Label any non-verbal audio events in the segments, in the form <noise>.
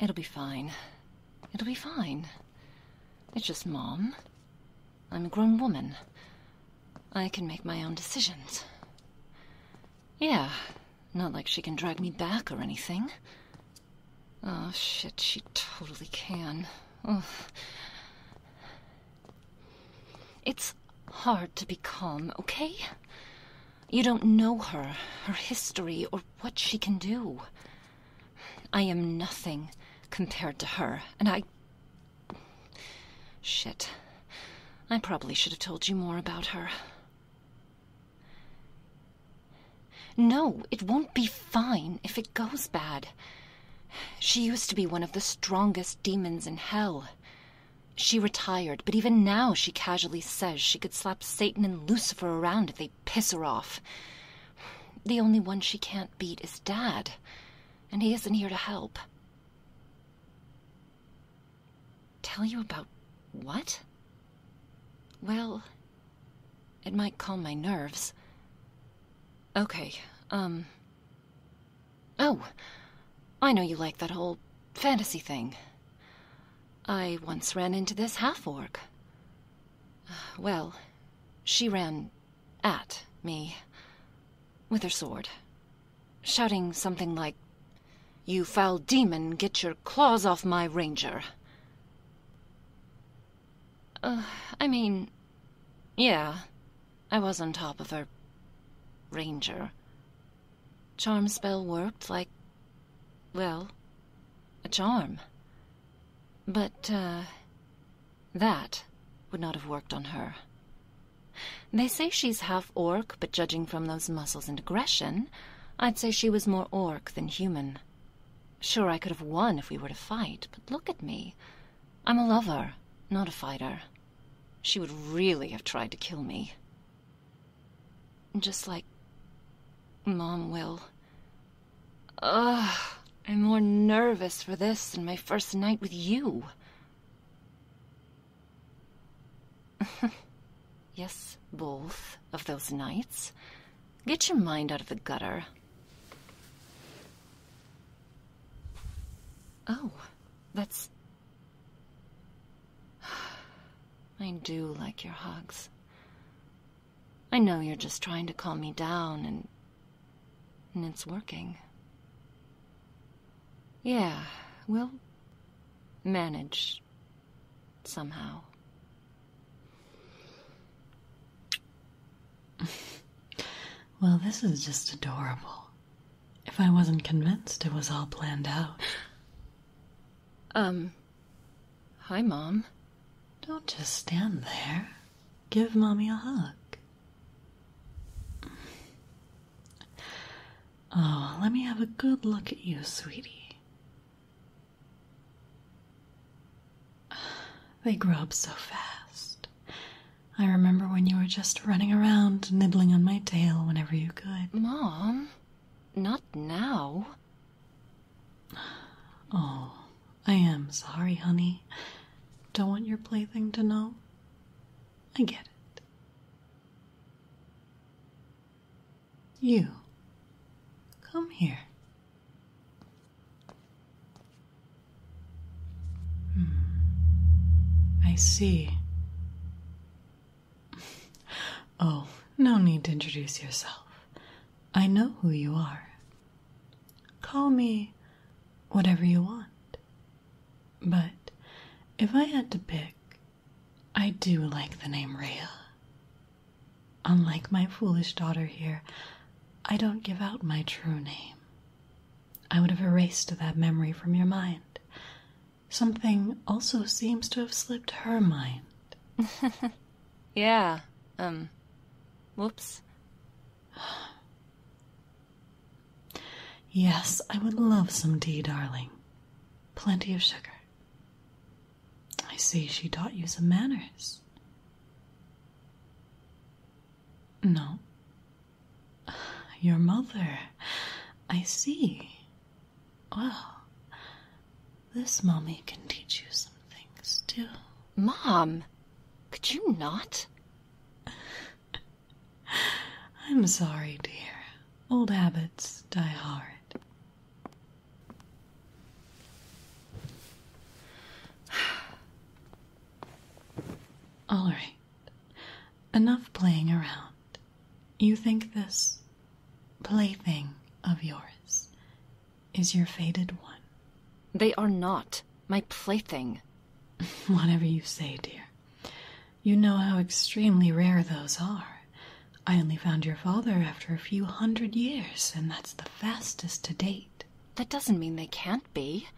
It'll be fine. It'll be fine. It's just Mom. I'm a grown woman. I can make my own decisions. Yeah, not like she can drag me back or anything. Oh, shit, she totally can. Ugh. It's hard to be calm, okay? You don't know her, her history, or what she can do. I am nothing compared to her, and I. Shit. I probably should have told you more about her. No, it won't be fine if it goes bad. She used to be one of the strongest demons in hell. She retired, but even now she casually says she could slap Satan and Lucifer around if they piss her off. The only one she can't beat is Dad, and he isn't here to help. Tell you about what? Well, it might calm my nerves. Okay, um, Oh, I know you like that whole fantasy thing. I once ran into this half orc. Uh, well, she ran at me with her sword, shouting something like, You foul demon, get your claws off my ranger. Uh, I mean, yeah, I was on top of her, ranger. Charm spell worked like, well, a charm. But, uh, that would not have worked on her. They say she's half orc, but judging from those muscles and aggression, I'd say she was more orc than human. Sure, I could have won if we were to fight, but look at me. I'm a lover, not a fighter. She would really have tried to kill me. Just like Mom will. Ugh, I'm more nervous for this than my first night with you. <laughs> yes, both of those nights. Get your mind out of the gutter. Oh, that's... <sighs> I do like your hugs. I know you're just trying to calm me down and... and it's working. Yeah, we'll manage somehow. <laughs> well, this is just adorable. If I wasn't convinced it was all planned out. <sighs> Um, hi, Mom. Don't just stand there. Give Mommy a hug. Oh, let me have a good look at you, sweetie. <sighs> They grow up so fast. I remember when you were just running around, nibbling on my tail whenever you could. Mom, not now. Oh, I am sorry, honey. Don't want your plaything to know. I get it. You, come here. Hmm. I see. Oh, no need to introduce yourself. I know who you are. Call me whatever you want. But if I had to pick, I do like the name Rhea. Unlike my foolish daughter here, I don't give out my true name. I would have erased that memory from your mind. Something also seems to have slipped her mind. <laughs> yeah. Um. Whoops. <gasps> yes, I would love some tea, darling. Plenty of sugar. I see she taught you some manners. No. Your mother. I see. Well, this mommy can teach you some things too. Mom, could you not? <laughs> I'm sorry, dear. Old habits die hard. <sighs> All right. Enough playing around. You think this plaything of yours is your faded one? They are not my plaything. <laughs> Whatever you say, dear. You know how extremely rare those are. I only found your father after a few hundred years, and that's the fastest to date. That doesn't mean they can't be.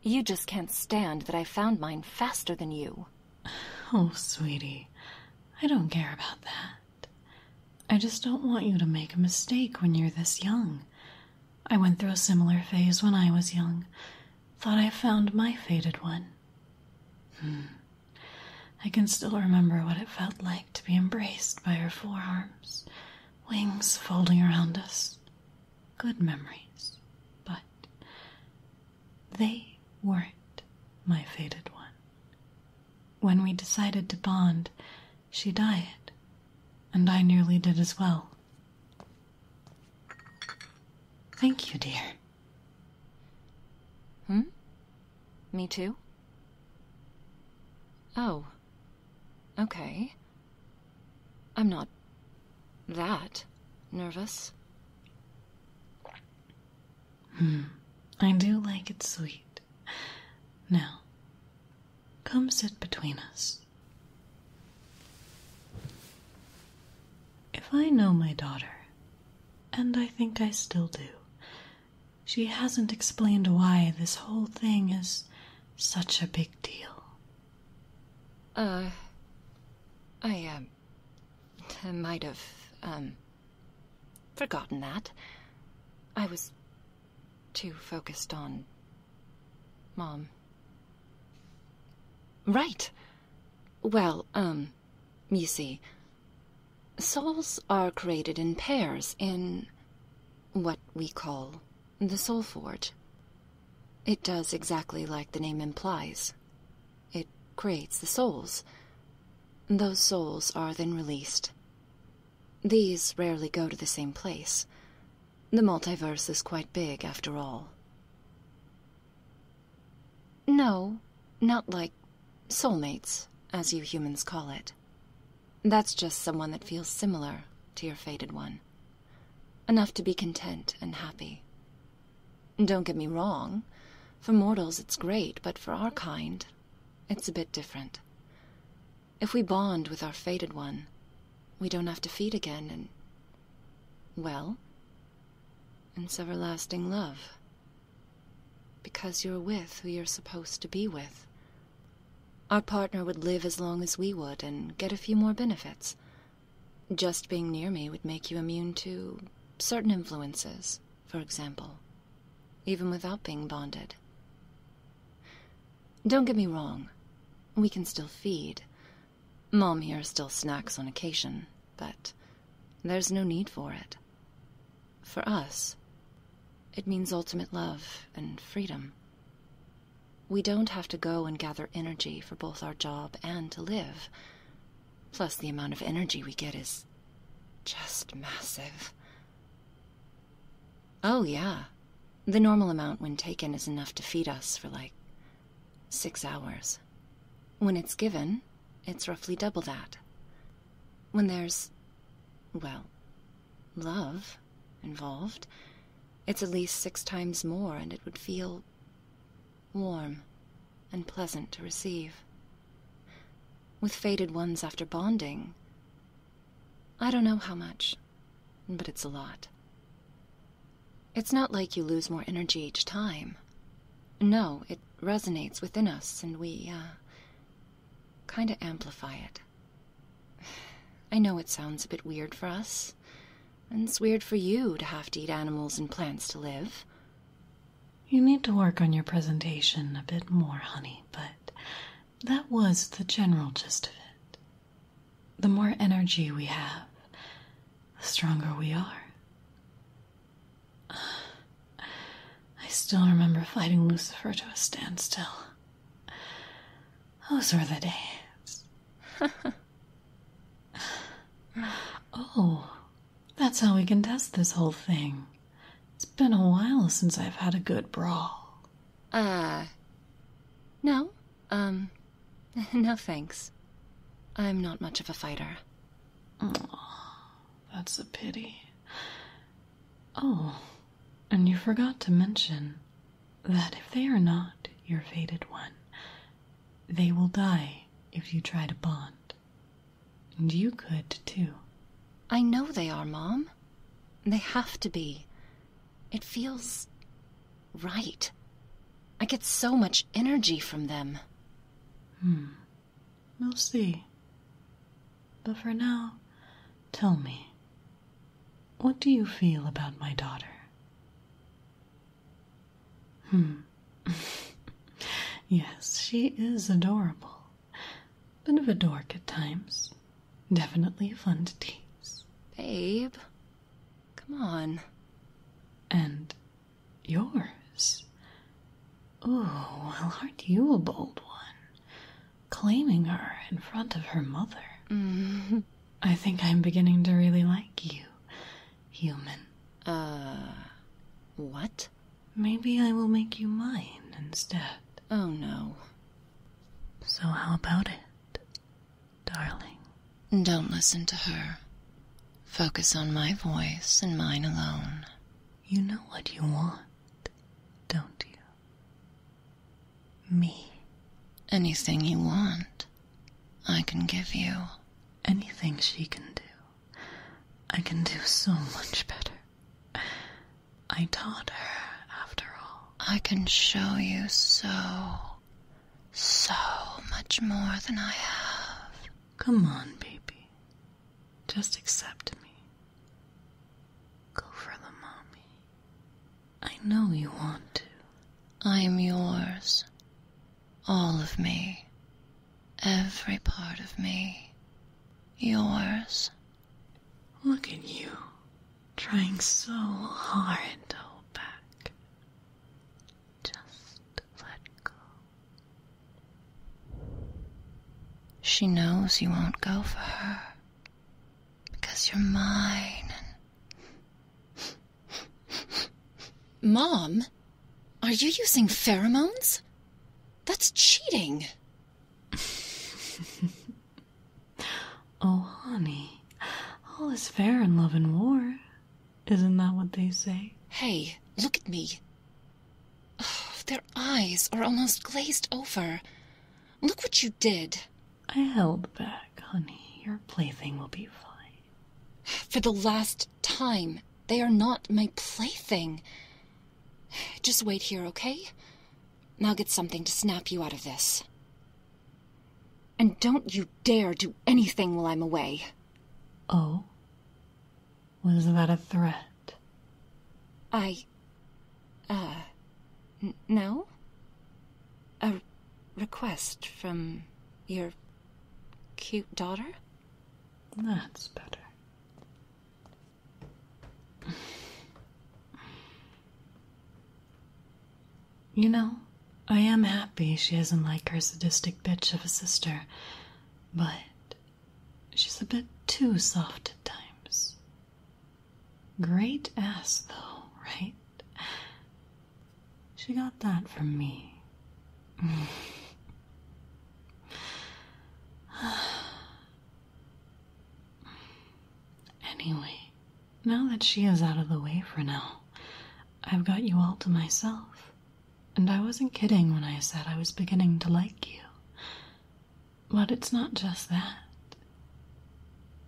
You just can't stand that I found mine faster than you. Oh, sweetie, I don't care about that. I just don't want you to make a mistake when you're this young. I went through a similar phase when I was young. Thought I found my faded one. Hmm. I can still remember what it felt like to be embraced by her forearms, wings folding around us, good memories, but they weren't my fated one. When we decided to bond, she died, and I nearly did as well. Thank you, dear. Hmm? Me too? Oh, Okay. I'm not that nervous. Hmm. I do like it sweet. Now, come sit between us. If I know my daughter, and I think I still do, she hasn't explained why this whole thing is such a big deal. Uh, I, um, might have, um, forgotten that. I was too focused on Mom. Right. Well, um, you see, souls are created in pairs in what we call the Soul Forge. It does exactly like the name implies. It creates the souls. Those souls are then released. These rarely go to the same place. The multiverse is quite big, after all. No, not like soulmates, as you humans call it. That's just someone that feels similar to your fated one. Enough to be content and happy. Don't get me wrong, for mortals it's great, but for our kind, it's a bit different. If we bond with our fated one, we don't have to feed again and. well, it's everlasting love. Because you're with who you're supposed to be with. Our partner would live as long as we would and get a few more benefits. Just being near me would make you immune to certain influences, for example, even without being bonded. Don't get me wrong, we can still feed. Mom here still snacks on occasion, but there's no need for it. For us, it means ultimate love and freedom. We don't have to go and gather energy for both our job and to live. Plus, the amount of energy we get is just massive. Oh, yeah. The normal amount when taken is enough to feed us for like six hours. When it's given, it's roughly double that. When there's, well, love involved. It's at least six times more, and it would feel warm and pleasant to receive. With faded ones after bonding, I don't know how much, but it's a lot. It's not like you lose more energy each time. No, it resonates within us, and we, uh, kind of amplify it. <sighs> I know it sounds a bit weird for us, and it's weird for you to have to eat animals and plants to live. You need to work on your presentation a bit more, honey, but that was the general gist of it. The more energy we have, the stronger we are. <sighs> I still remember fighting Lucifer to a standstill. Those are the days. <laughs> oh, that's how we can test this whole thing. It's been a while since I've had a good brawl. Uh. No. Um. <laughs> No thanks. I'm not much of a fighter. Oh, that's a pity. Oh, and you forgot to mention that if they are not your fated one, they will die if you try to bond. And you could, too. I know they are, Mom. They have to be. It feels right. I get so much energy from them. Hmm. We'll see. But for now, tell me, what do you feel about my daughter? Hmm. <laughs> yes, she is adorable. Bit of a dork at times. Definitely fun to tease. Babe, come on. And yours? Oh, well, aren't you a bold one? claiming her in front of her mother. Mm-hmm. I think I'm beginning to really like you, human. Uh, what? Maybe I will make you mine instead. Oh no. So, how about it, darling? Don't listen to her. Focus on my voice and mine alone. You know what you want, don't you? Me. Anything you want, I can give you. Anything she can do, I can do so much better. I taught her, after all. I can show you so, so much more than I have. Come on, baby. Just accept me. Go for the mommy. I know you want to. I am yours. All of me. Every part of me. Yours. Look at you. Trying so hard to hold back. Just let go. She knows you won't go for her. Because you're mine. Mom, are you using pheromones? That's cheating. <laughs> oh, honey. All is fair in love and war. Isn't that what they say? Hey, look at me. Oh, their eyes are almost glazed over. Look what you did. I held back, honey. Your plaything will be fine. For the last time, they are not my plaything. Just wait here, okay? I'll get something to snap you out of this. And don't you dare do anything while I'm away. Oh? Was that a threat? I uh, n- no? A r- request from your cute daughter? That's better. you know, I am happy she isn't like her sadistic bitch of a sister, but she's a bit too soft at times. Great ass, though, right? She got that from me. <sighs> anyway, now that she is out of the way for now, I've got you all to myself. And I wasn't kidding when I said I was beginning to like you. But it's not just that.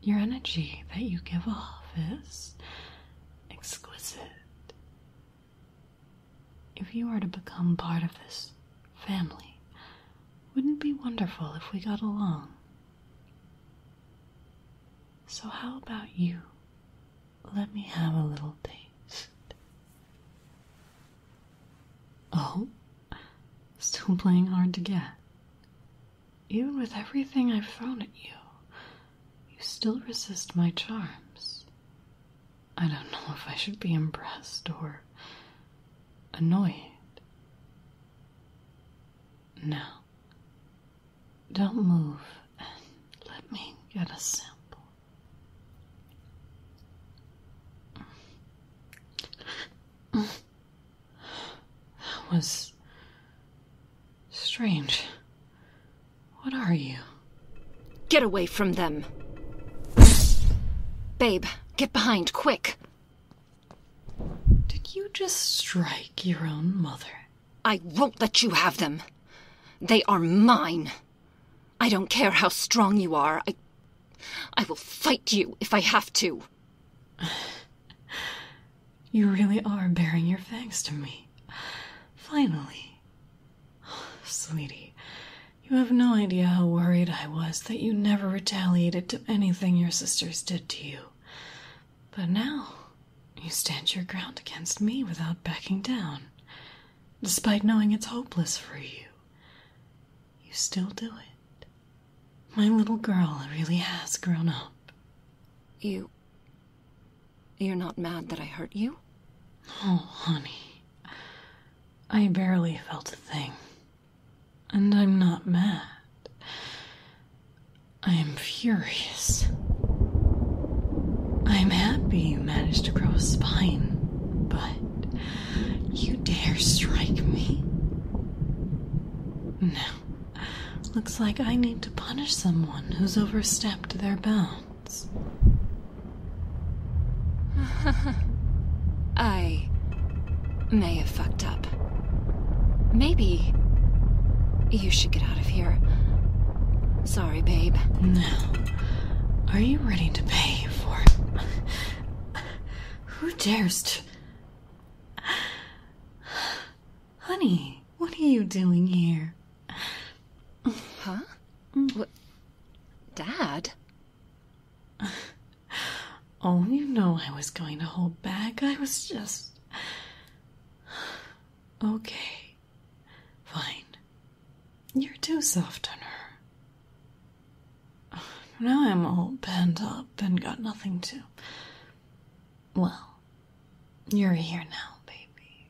Your energy that you give off is exquisite. If you are to become part of this family, wouldn't it be wonderful if we got along? So, how about you? Let me have a little taste. Oh, still playing hard to get. Even with everything I've thrown at you, you still resist my charms. I don't know if I should be impressed or annoyed. No. don't move let me get a sample. Mm. That was strange. What are you? Get away from them. Babe, get behind, quick. Did you just strike your own mother? I won't let you have them. They are mine. I don't care how strong you are. I I will fight you if I have to. you really are bearing your fangs to me. Finally. sweetie, you have no idea how worried I was that you never retaliated to anything your sisters did to you. But now, you stand your ground against me without backing down, despite knowing it's hopeless for you. You still do it. My little girl really has grown up. You. You're not mad that I hurt you? Oh, honey. I barely felt a thing. And I'm not mad. I am furious. I am happy you managed to grow a spine, but you dare strike me? No. Looks like I need to punish someone who's overstepped their bounds. <laughs> I may have fucked up. Maybe you should get out of here. Sorry, babe. No. Are you ready to pay for it? Who dares to. Honey, what are you doing here? Huh? Mm. What? Dad? Oh, you know I was going to hold back. I was just. Okay. Fine. You're too soft on her. Now I'm all pent up and got nothing to. Well, you're here now, baby.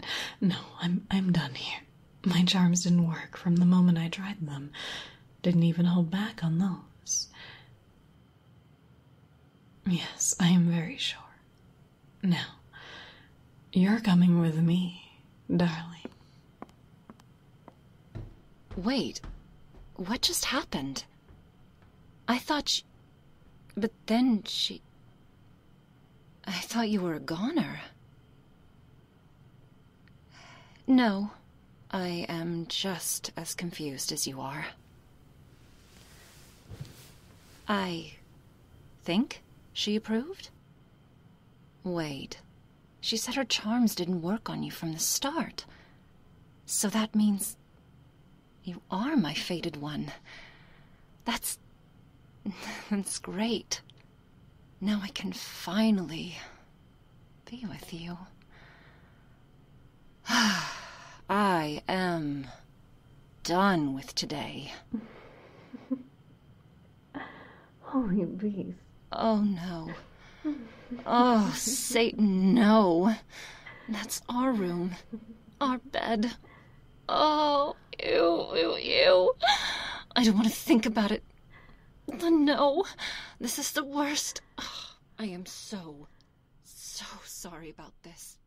<laughs> no, I'm I'm done here. My charms didn't work from the moment I tried them. Didn't even hold back on those. Yes, I am very sure. Now, you're coming with me, darling. Wait, what just happened? I thought she... But then she... I thought you were a goner. No, I am just as confused as you are. I think she approved? Wait. She said her charms didn't work on you from the start. So that means you are my fated one. That's. <laughs> that's great. Now I can finally be with you. <sighs> I am done with today. <laughs> <laughs> Oh, beast. Oh, no. Oh, Satan, no. That's our room. Our bed. Oh, ew, ew, ew. I don't want to think about it. The no. This is the worst. <sighs> I am so, so sorry about this.